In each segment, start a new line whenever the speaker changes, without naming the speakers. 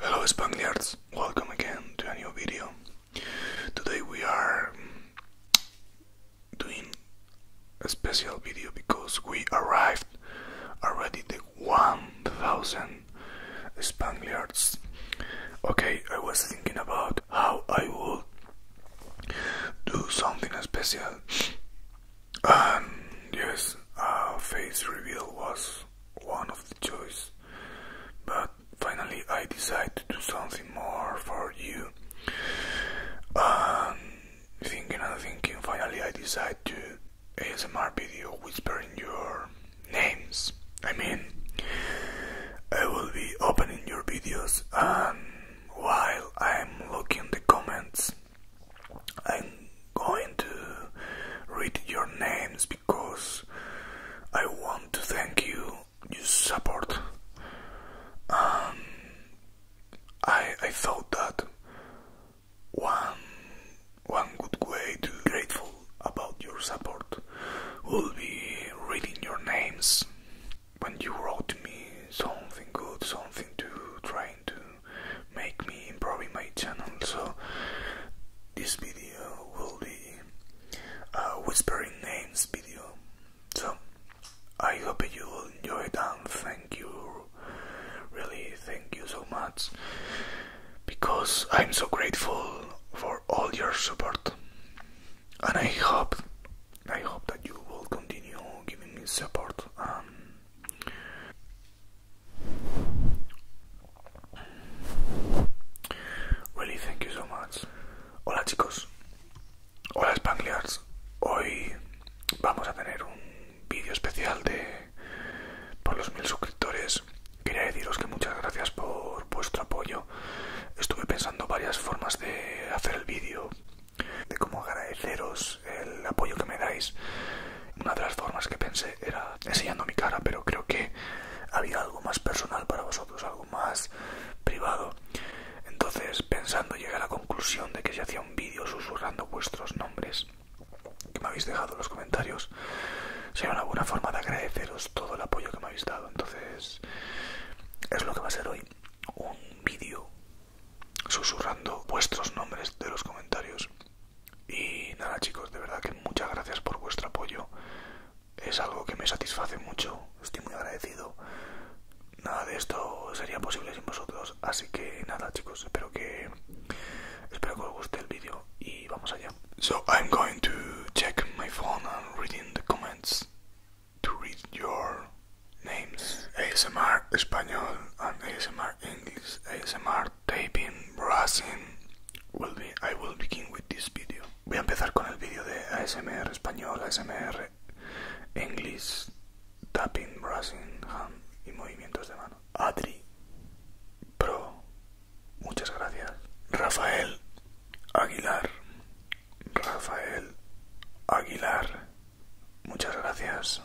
Hello Spangliards, welcome again to a new video. Today we are doing a special video because we arrived already the 1,000 Spaniards. Okay, I was thinking about how I would do something special. And um, yes, a face reveal was one of the choice. But finally I decided to do something more for you. Um, thinking and thinking, finally I decide to ASMR video whispering your names. I mean, I will be opening your videos and um, while I'm looking the comments, I'm going to read your names because I want to thank you, you support. Um, I I thought that one one good way to grateful about your support will be reading your names when you wrote me something good, something to trying to make me improving my channel. So this video will be a whispering names video so, I hope you will enjoy it and thank you, really thank you so much, because I'm so grateful for all your support, and I hope, I hope that you will continue giving me support. Um, really, thank you so much. Hola chicos, hola Spangliards. Hoy vamos a tener un vídeo especial de por los mil suscriptores. Quería deciros que muchas gracias por vuestro apoyo. Estuve pensando varias formas de hacer el vídeo, de cómo agradeceros el apoyo que me dais. Una de las formas que pensé era enseñando mi cara, pero creo que había algo más personal para vosotros, algo más privado. Entonces, pensando, llegué a la conclusión de que si hacía un vídeo susurrando vuestros nombres que me habéis dejado en los comentarios, sería una buena forma de agradeceros todo el apoyo que me habéis dado. Entonces, es lo que va a ser hoy, un vídeo susurrando vuestros nombres de los comentarios. Y nada chicos, de verdad que muchas gracias por vuestro apoyo. Es algo que me satisface mucho, estoy muy agradecido. Nada de esto sería posible sin vosotros, así que nada chicos, espero que espero que os guste el vídeo y vamos allá. I'm going to check my phone and the comments to read your names. ASMR español and ASMR English, taping, brushing, will be, I will begin with this video. Voy a empezar con el video de ASMR español, ASMR English, tapping, brushing, hand y movimientos de mano. Adri, Pro, muchas gracias. Rafael Aguilar, Rafael Aguilar Muchas gracias.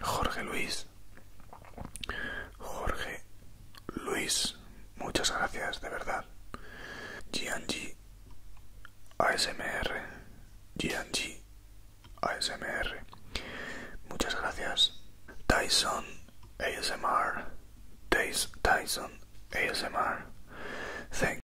Jorge Luis. Jorge Luis. Muchas gracias, de verdad. GNG ASMR. GNG ASMR. Muchas gracias. Tyson ASMR. Tyson ASMR.